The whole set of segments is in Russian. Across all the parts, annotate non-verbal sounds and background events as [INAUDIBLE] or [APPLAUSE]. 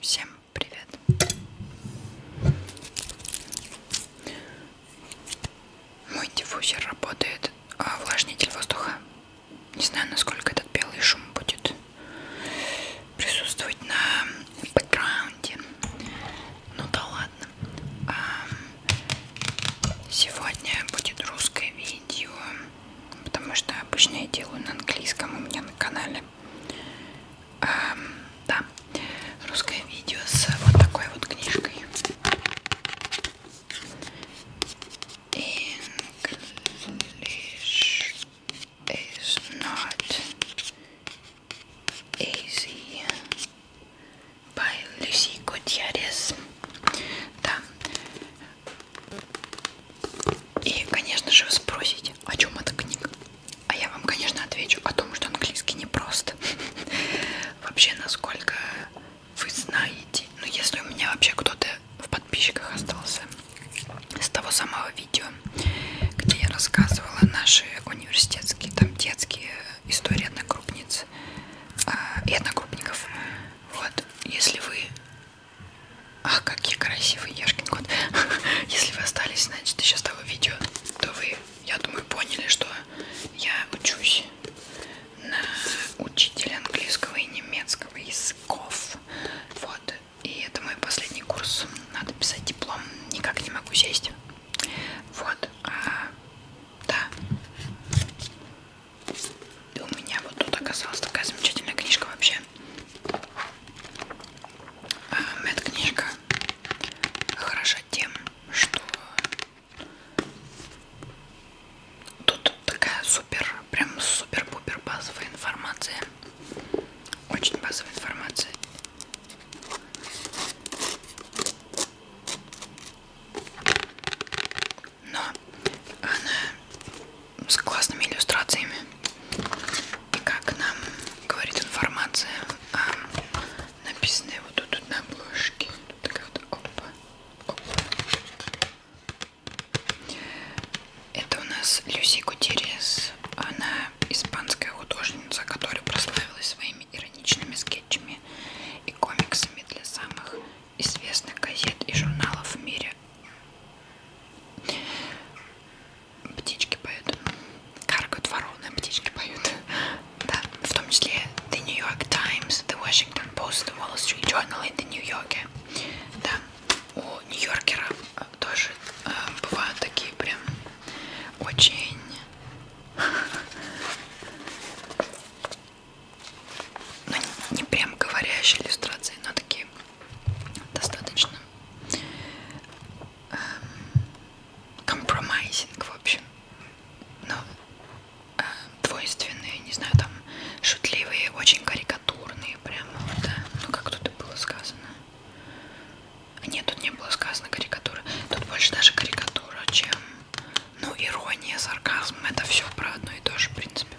Всем привет! Мой диффузер работает, а увлажнитель воздуха. Не знаю, насколько этот белый шум будет присутствовать на бэкграунде. Ну да ладно. А сегодня будет русское видео потому что обычно я делаю на английском у меня на канале. Эм, да, русское видео с вот такой вот книжкой. English is not easy by Lucy Gutierrez. Да, и, конечно же, вы спросите, о чем эта книга? А я вам, конечно, отвечу о том, что английский непрост. [LAUGHS] Вообще, насколько вы знаете, ну, если у меня вообще кто-то в подписчиках остался с того самого видео, где я рассказывала наши университетские, там, детские истории одногруппниц а, и одногруппников, вот, если вы а, какие красивые, Яшкин кот. [LAUGHS] Если вы остались, значит, еще с того видео, то вы, я думаю, поняли, что я учусь на учителя английского и немецкого языков. Вот. И это мой последний курс. Надо писать диплом. Никак не могу сесть. Вот. А, да. И у меня вот тут оказалась такая замечательная книжка вообще. Медкнижка эм, хороша тем, что тут такая супер, прям супер-пупер базовая информация. Очень базовая информация. Но она с классными иллюстрациями. И как нам говорит информация, а, написанная вот тут, тут на обложке. Тут такая вот опа, опа. Это у нас Люси Гутерес. Она испанская художница, которая прославилась своими ироничными скетчами и комиксами для самых известных газет и журналов в мире, Птички поют. Каркают вороны, птички поют. [LAUGHS] да, в том числе The New York Times, The Washington Post, The Wall Street Journal и The New Yorker. Да, у Нью-Йоркера э, тоже э, бывают такие прям очень... [LAUGHS] Ну, не, не прям говорящие иллюстрации, но такие достаточно эм, компромайзинг, в общем, но ну, э, двойственные, не знаю, там шутливые, очень карикатурные, прямо вот, да. ну как тут и было сказано. Нет, тут не было сказано карикатура, тут больше даже карикатура, чем, ну, ирония, сарказм, это все про одно и то же, в принципе.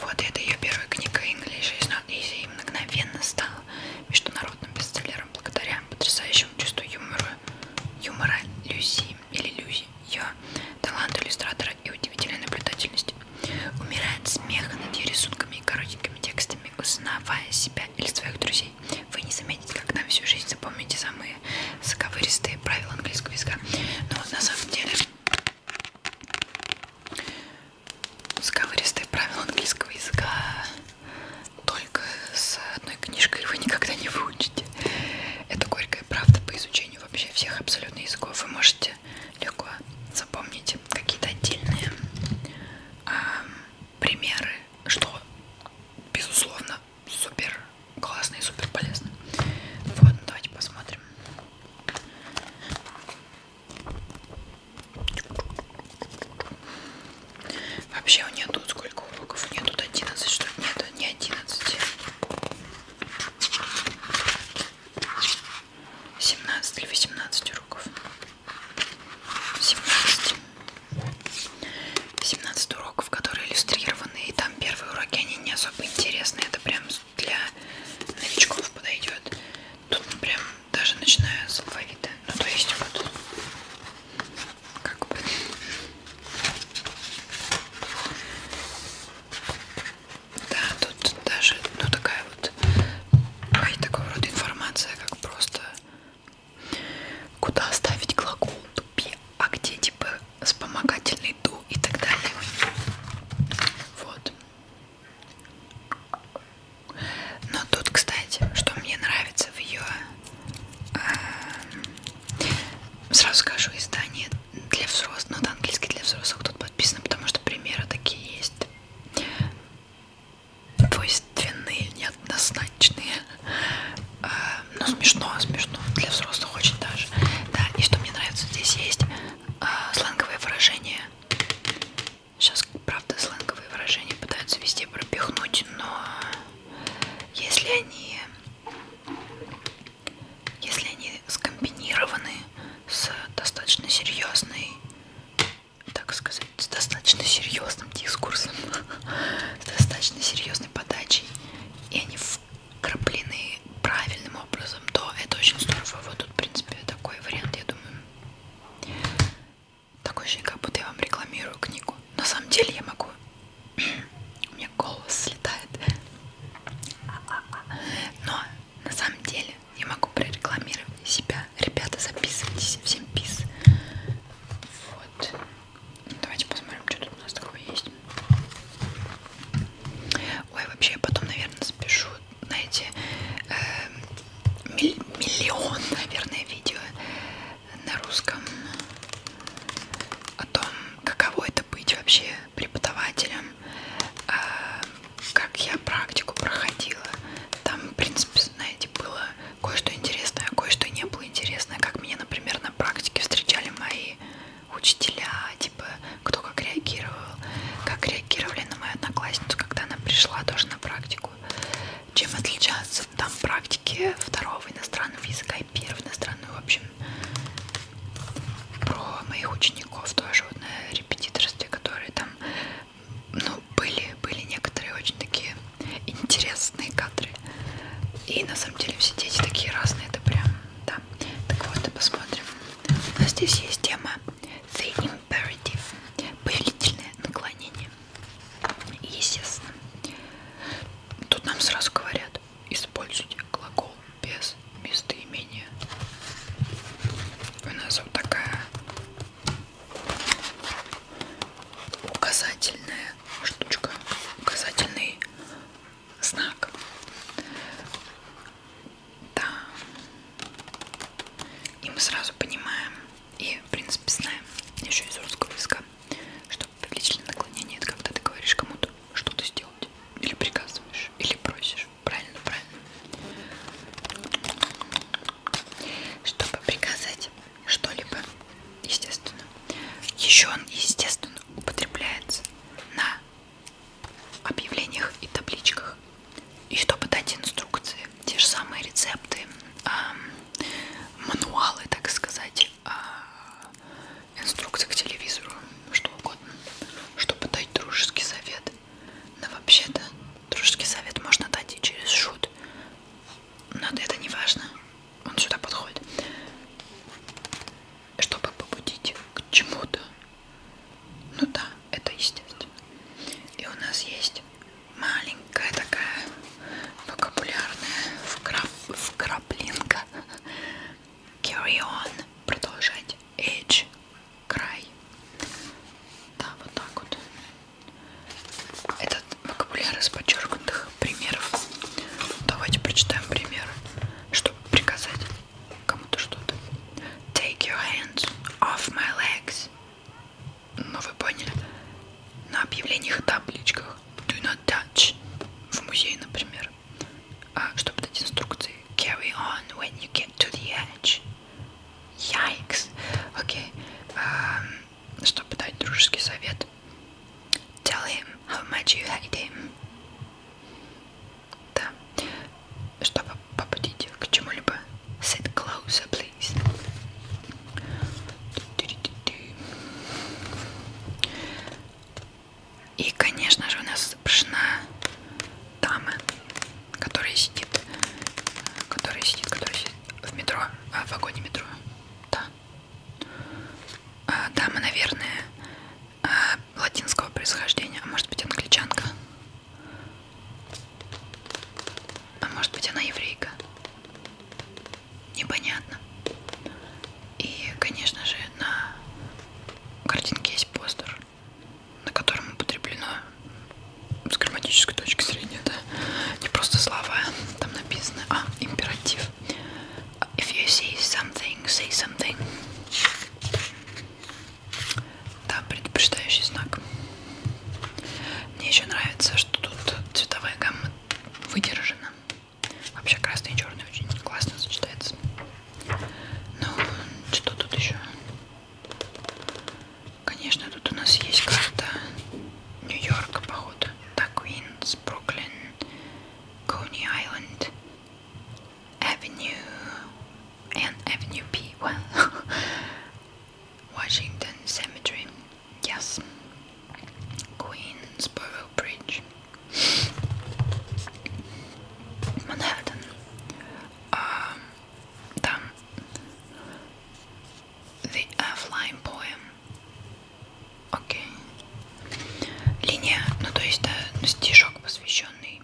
Вот это ее первая книга English is not easy и мгновенно стала международным бестселлером благодаря потрясающему чувству юмора, юмора Люси или Люзи, ее таланту иллюстратора и удивительной наблюдательности. Умирая от смеха над ее рисунками и коротенькими текстами, узнавая себя или своих друзей, вы не заметите, как на всю жизнь запомните самые заковыристые правила английского языка. Но на самом деле Сковыристые правила английского языка только с одной книжкой вы никогда не выучите. Это горькая правда по изучению вообще всех абсолютно языков. Вы можете легко запомнить какие-то отдельные э, примеры, что безусловно супер классно и супер полезно. Вот, давайте посмотрим. Вообще у нее тут сколько уроков? У нее тут 11, что ли? Нет, не 11. 17 или 18 уроков. 17. 17 уроков, которые иллюстрированы. И там первые уроки, они не особо интересны. Это прям для новичков подойдет. Тут прям даже начиная с алфавита. Ну то есть вот как бы. Да, тут даже ну такая вот какая такого рода информация, как просто куда оставить глагол тупи, а где типа вспомогательный дух ну и так далее. Вот. Но тут, кстати, что мне нравится в ее... Э, эм, сразу скажу, издание для взрослых, но ну, английский для взрослых тут подписано, потому что примеры такие есть двойственные, неоднозначные. Э, эм, но ну, смешно, смешно. Для взрослых очень даже. Да, и что мне нравится здесь есть Э, сленговые выражения. Сейчас, правда, сленговые выражения пытаются везде пропихнуть, но если они, если они скомбинированы с достаточно серьезной, так сказать, с достаточно серьезным дискурсом, [LAUGHS] с достаточно серьезной подачей, и они в краплены правильным образом, то это очень здорово. Вот тут, в принципе, такой вариант, я думаю. Такой же, как будто я вам рекламирую книгу. На самом деле я могу... [CLEARS THROAT] У меня голос слетает. Но на самом деле я могу прорекламировать себя. Ребята, записывайтесь. Всем пис. Вот. Давайте посмотрим, что тут у нас такое есть. Ой, вообще я потом, наверное, запишу, знаете, э, миллион, наверное, видео на русском о том, каково это быть вообще преподавателем, э, как я практику проходила. Там, в принципе, знаете, было кое-что интересное, а кое-что не было интересное, как меня, например, на практике встречали мои учителя, типа, кто как реагировал, как реагировали на мою одноклассницу, когда она пришла тоже на практику. Чем отличаются там практики второго иностранного языка и первого иностранного, в общем, про моих учеников тоже вот на репетиторстве, которые там, ну, были, были некоторые очень такие интересные кадры. И на самом деле все дети такие разные, это прям, да. Так вот, и посмотрим. У нас здесь есть тема The Imperative, повелительное наклонение. Естественно. Тут нам сразу говорят, используйте глагол без местоимения. У нас вот такая указательная штучка, указательный знак. Да. И мы сразу понимаем и, в принципе, знаем еще из русского языка, что повелительное наклонение это когда ты говоришь кому-то что-то сделать, или приказываешь, или просишь. Правильно, правильно. Чтобы приказать что-либо, естественно. Еще он, естественно, употребляется на объявлениях и табличках. И чтобы дать инструкции, те же самые рецепты, мануалы, так сказать, а, инструкции к телевизору, что угодно, чтобы дать дружеский совет. Но вообще-то дружеский совет можно дать и через шут. Но это не важно. Он сюда подходит чтобы побудить к чему-то. Ну да, это естественно. И у нас есть маленькая такая вокабулярная вкрап... вкраплинка. Carry on. Продолжать. Edge. Край. Да, вот так вот. Этот вокабуляр из подчеркнутых примеров. Давайте прочитаем пример, чтобы приказать кому-то что-то. Take your hands off my legs. Ну вы поняли. На объявлениях и табличках. Do not touch. В музее, например. А, чтобы дать инструкции. Carry on when you get to the edge. Yikes. Окей. Okay. Эм, um, чтобы дать дружеский совет. Tell him how much you hate him. Да. Чтобы попадить к чему-либо. Sit closer, please. И, конечно же, у нас запрещена дама, которая сидит, которая сидит, которая сидит в метро, а, в вагоне метро. Да. А, дама, наверное, э, латинского происхождения, а может быть англичанка, а может быть она еврейка, непонятно. И, конечно же, на картинке есть постер, на котором употреблено с грамматической точки зрения, да, не просто слова, там написано, а императив. If you see something, say something. Да, предупреждающий знак. Мне еще нравится, что тут цветовая гамма выдержана. Вообще красный и черный очень классно сочетается. Ну, что тут еще? Конечно, тут у нас есть карта Нью-Йорка, походу. Да, Квинс, Бруклин, Кони Айленд. Avenue and Avenue P. One, [LAUGHS] Washington Cemetery. Yes, Queensboro Bridge, Manhattan. Um, the uh, F-line poem. Окей. Okay. Линия, ну то есть да, ну, стишок, посвященный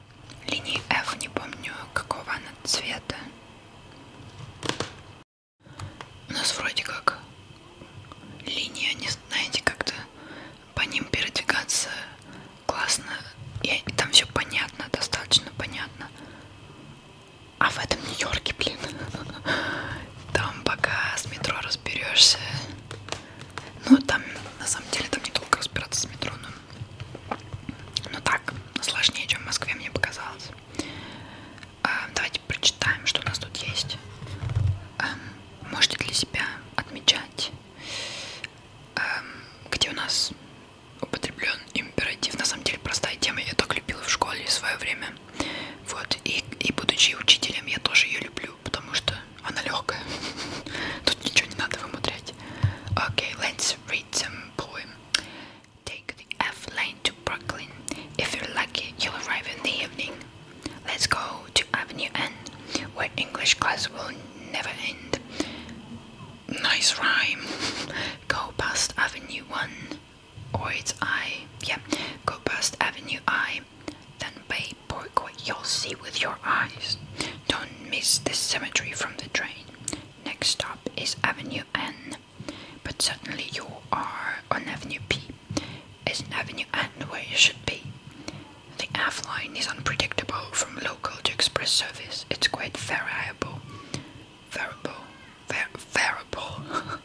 линии F, не помню какого она цвета. У нас вроде как линия, не знаете, как-то по ним передвигаться классно. И, и там все понятно, достаточно понятно. А в этом Нью-Йорке, блин, [LAUGHS] там пока с метро разберешься. Ну, там, на самом деле, там не долго разбираться с метро, но... Ну так, сложнее, чем в Москве, мне показалось. А, давайте прочитаем, что у нас тут есть. А, можете для себя отмечать, а, где у нас употреблен императив. На самом деле, простая тема, я так любила в школе в свое время. Вот, и, и будучи учителем, я тоже ее люблю, потому что Okay, [LAUGHS] let's read some poem. Take the F lane to Brooklyn. If you're lucky, you'll arrive in the evening. Let's go to Avenue N, where English class will never end. Nice rhyme. Go past Avenue 1, or it's I. Yeah, go past Avenue I. Then, babe, boy, what you'll see with your eyes. Don't miss the cemetery from the train. Next stop is Avenue N. But certainly you are on Avenue P. It's Avenue N where you should be? The F line is unpredictable from local to express service. It's quite variable. Variable. Var variable.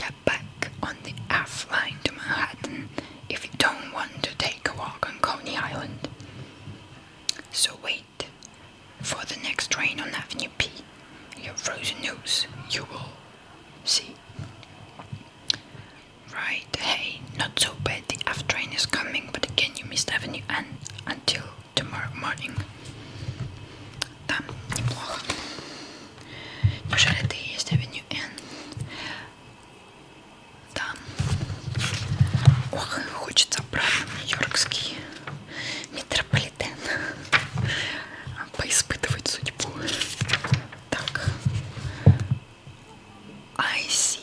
[LAUGHS] back on the F line to Manhattan if you don't want to take a walk on Coney Island. So wait for the next train on Avenue P. Your frozen nose you will see. Right, hey, not so bad. The F train is coming, but again you missed Avenue N until tomorrow morning. Там неплохо. Неужели ты есть Avenue N? Да. Ох, хочется обратно в нью-йоркский метрополитен а, поиспытывать судьбу. Так. Айси.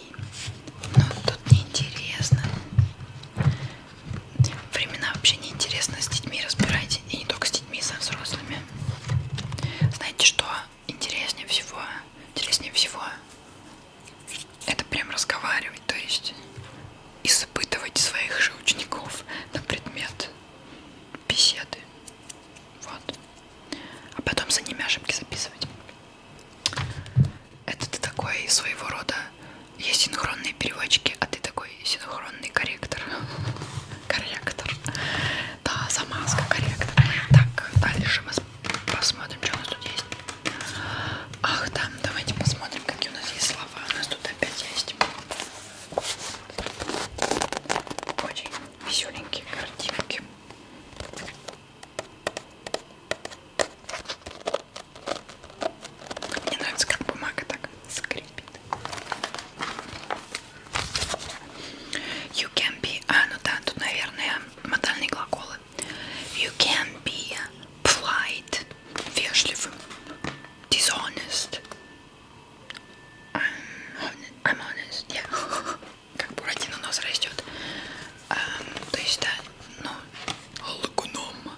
Ну, тут неинтересно. Времена вообще неинтересно. С детьми разбирайте. И не только с детьми, со взрослыми. Знаете что? интереснее всего, интереснее всего это прям разговаривать, то есть испытывать своих же учеников на предмет беседы. Вот. А потом за ними ошибки записывать. Это ты такой своего рода есть синхронные переводчики, а ты такой синхронный корректор корректор. Да, замазка, корректор. Так, дальше мы посмотрим, что у нас тут есть. Ах, да, давайте посмотрим, какие у нас есть слова. У нас тут опять есть. Очень веселенькие картинки. Мне нравится, как бумага так скрипит. You can be... А, ну да, тут, наверное, модальные глаголы. You can be polite, вежливым, dishonest. I'm honest, I'm honest. Yeah. [LAUGHS] Как Буратино у нас растет. Um, то есть, да, ну, лгуном.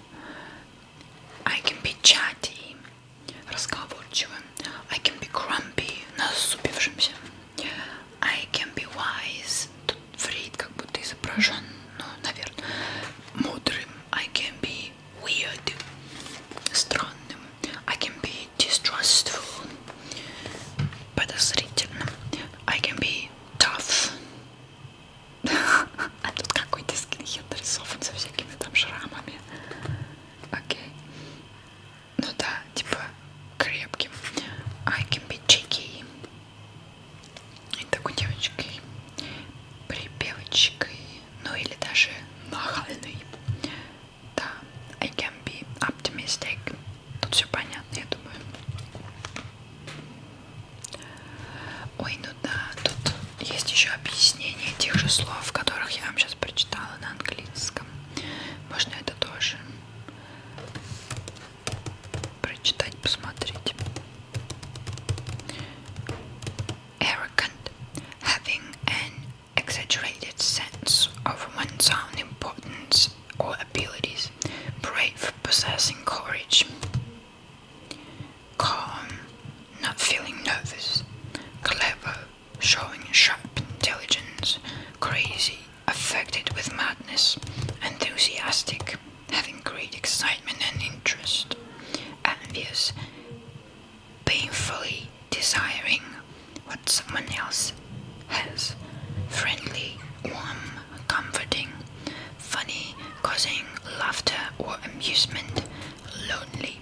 I can be chatty разговорчивым. I can be grumpy, насупившимся. I can be wise. Тут Фрейд как будто изображен, ну, наверное, мудрым. I can be weird, странным. I can be distrustful, подозрительным. I can be tough. [LAUGHS] А тут какой-то скинхед нарисован со всякими там шрамами. Окей. Okay ну да, типа крепким. I can be cheeky. И такой девочкой, припевочкой, ну или даже нахальной. Да, I can be optimistic. Тут все понятно, я думаю. Ой, ну да, тут есть еще объяснение тех же слов, которых я вам сейчас прочитала на английском. Можно это тоже прочитать, посмотреть. Arrogant, having an exaggerated sense of one's own importance or abilities. Brave, possessing courage. Calm, not feeling nervous. Clever, showing sharp intelligence, crazy, affected with madness, enthusiastic, having great excitement and interest, envious, painfully desiring what someone else has, friendly, warm, comforting, funny, causing laughter or amusement, lonely,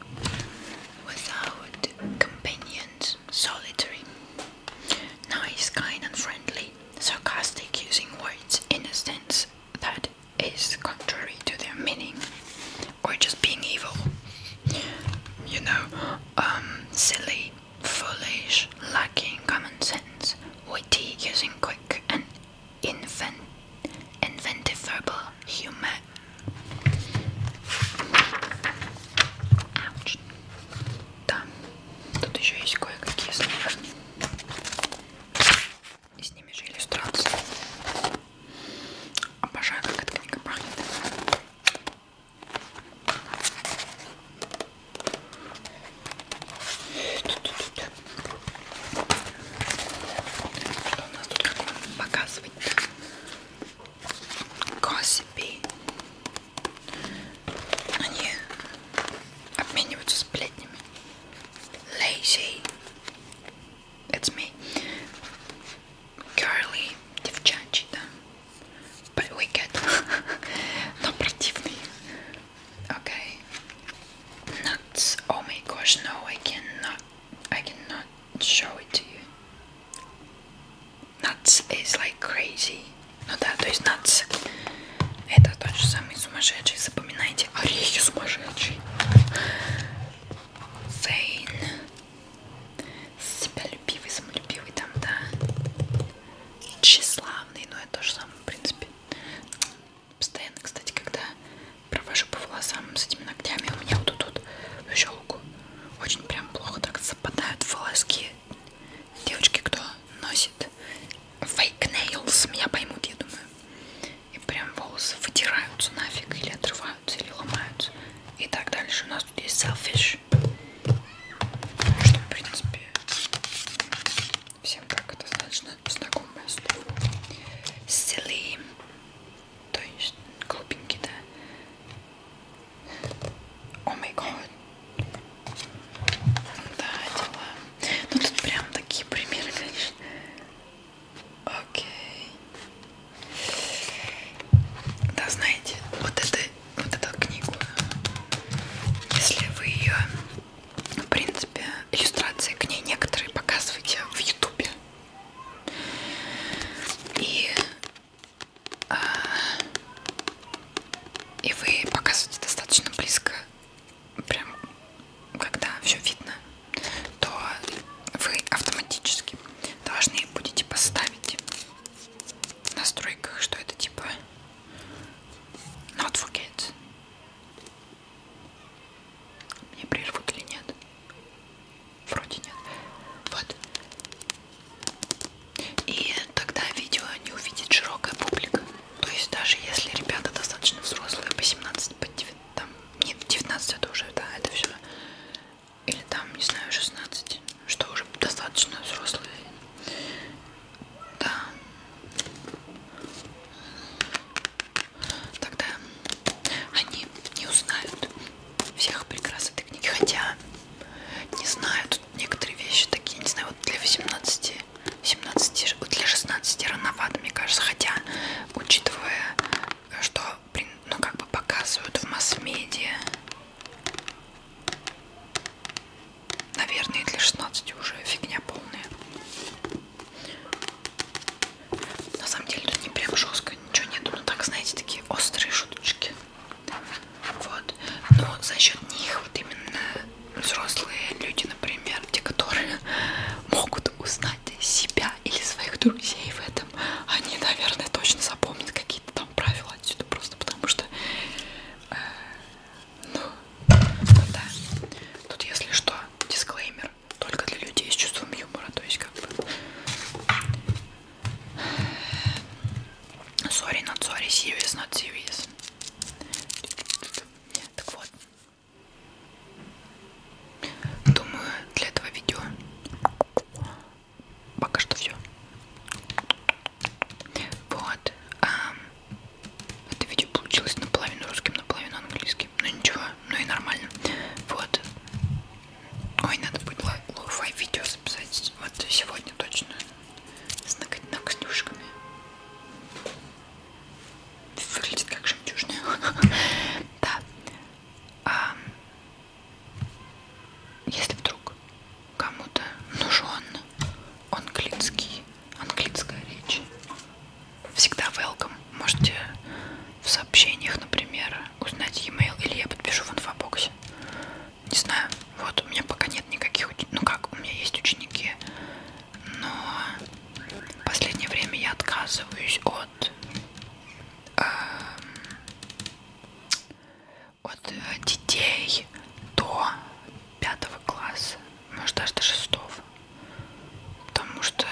without companion solitary. Nice, kind and friendly, sarcastic, using words in a sense that is contrary to their meaning, or just being evil. You know, um, silly, foolish, lacking common sense, witty, using quick and invent inventive verbal humor Ouch. Да, тут еще есть кое-какие слои. И с ними же иллюстрации. Обожаю, как эта книга пахнет. Что у нас тут показывать-то? Gossipy. Они обмениваются сплетнями. Lazy. It's me. Girly. Девчачий, да. But wicked. Но [LAUGHS] противный. Okay. Nuts. Oh my gosh, no, I cannot. I cannot show it to you. Nuts is like crazy. Ну да, то есть nuts это тот же самый сумасшедший. Запоминайте, орехи сумасшедший. Фейн. Себялюбивый, самолюбивый там, да. Тщеславный, но это то же самое, в принципе. Постоянно, кстати, когда провожу по волосам с этими ногтями, у меня вот тут еще лук очень прям плохо так западают волоски. Девочки, кто носит fake nails, меня поймут, я думаю. И прям волосы вытираются нафиг, или отрываются, или ломаются. И так дальше. У нас тут есть selfish. Что, в принципе, всем так достаточно знакомое слово. Silly то есть глупенький, да? О май год. Да, дела. Ну тут прям такие примеры, конечно. Окей. Да, знаете, вот это, вот эту книгу, если вы ее, в принципе, иллюстрации к ней некоторые показываете в Ютубе. И, э, и вы показываете достаточно близко, прям когда все видно, то вы автоматически должны будете поставить в настройках, что это типа not forget. Мне прервут или нет? Вроде нет. Вот. И тогда видео не увидит широкая публика. То есть даже если ребята достаточно взрослые, по 17, по 9, там, нет, 19 это уже, да, это все. Или там, не знаю, 16, что уже достаточно взрослые. Да тогда они не узнают всех прекрас этой книги. Хотя не знаю, тут некоторые вещи такие, не знаю, вот для 18, 17, вот для 16 рановато, мне кажется. Хотя, учитывая, что ну как бы показывают в масс-медиа, наверное, для 16 уже фигня полная. На самом деле тут не прям жестко ничего нету, но так, знаете, такие острые шуточки. Вот. Но за счет них вот именно взрослые люди, например, те, которые [LAUGHS] могут узнать себя или своих друзей в этом, они, наверное, точно запомнят какие-то там правила отсюда просто потому что э, ну, ну да. Тут если что, дисклеймер юмор. Только для людей с чувством юмора. То есть как бы... Sorry, not sorry, serious, not serious. Так вот. Думаю, для этого видео пока что все. Вот. Это видео получилось наполовину русским, наполовину английским практически. Ну ничего, ну и нормально. Вот. Ой, надо будет лоу-фай видео записать. Вот сегодня точно. С ногтюшками. Выглядит как жемчужная. [LAUGHS] Да. А, если вдруг кому-то нужен английский, английская речь, всегда welcome. Можете в сообщениях, например, узнать e-mail или я подпишу в инфобоксе. Не знаю, вот у меня пока нет никаких учеников, ну как, у меня есть ученики, но в последнее время я отказываюсь от, эм, э, от детей до пятого класса, может даже до шестого, потому что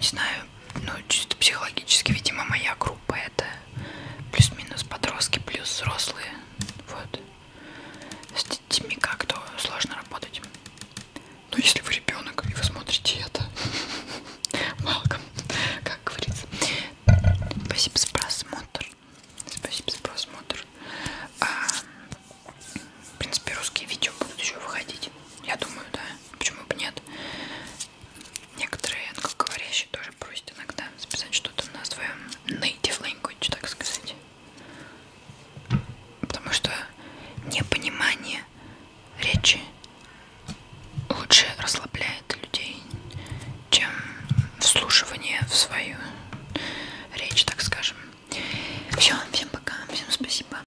не знаю, ну чисто психологически, видимо, моя группа это плюс-минус подростки, плюс взрослые, вот. С детьми как-то сложно работать. Но ну, если вы ребенок и вы смотрите это, [LAUGHS] малко, как говорится. Спасибо за просмотр. Спасибо за просмотр. А, в принципе, русские видео будут еще выходить. Я думаю, да. Почему бы нет? Некоторые англоговорящие тоже просят иногда записать что-то на своем native language, так сказать. Потому что непонимание речи лучше расслабляет людей, чем вслушивание в свою речь, так скажем. Все, всем пока, всем спасибо.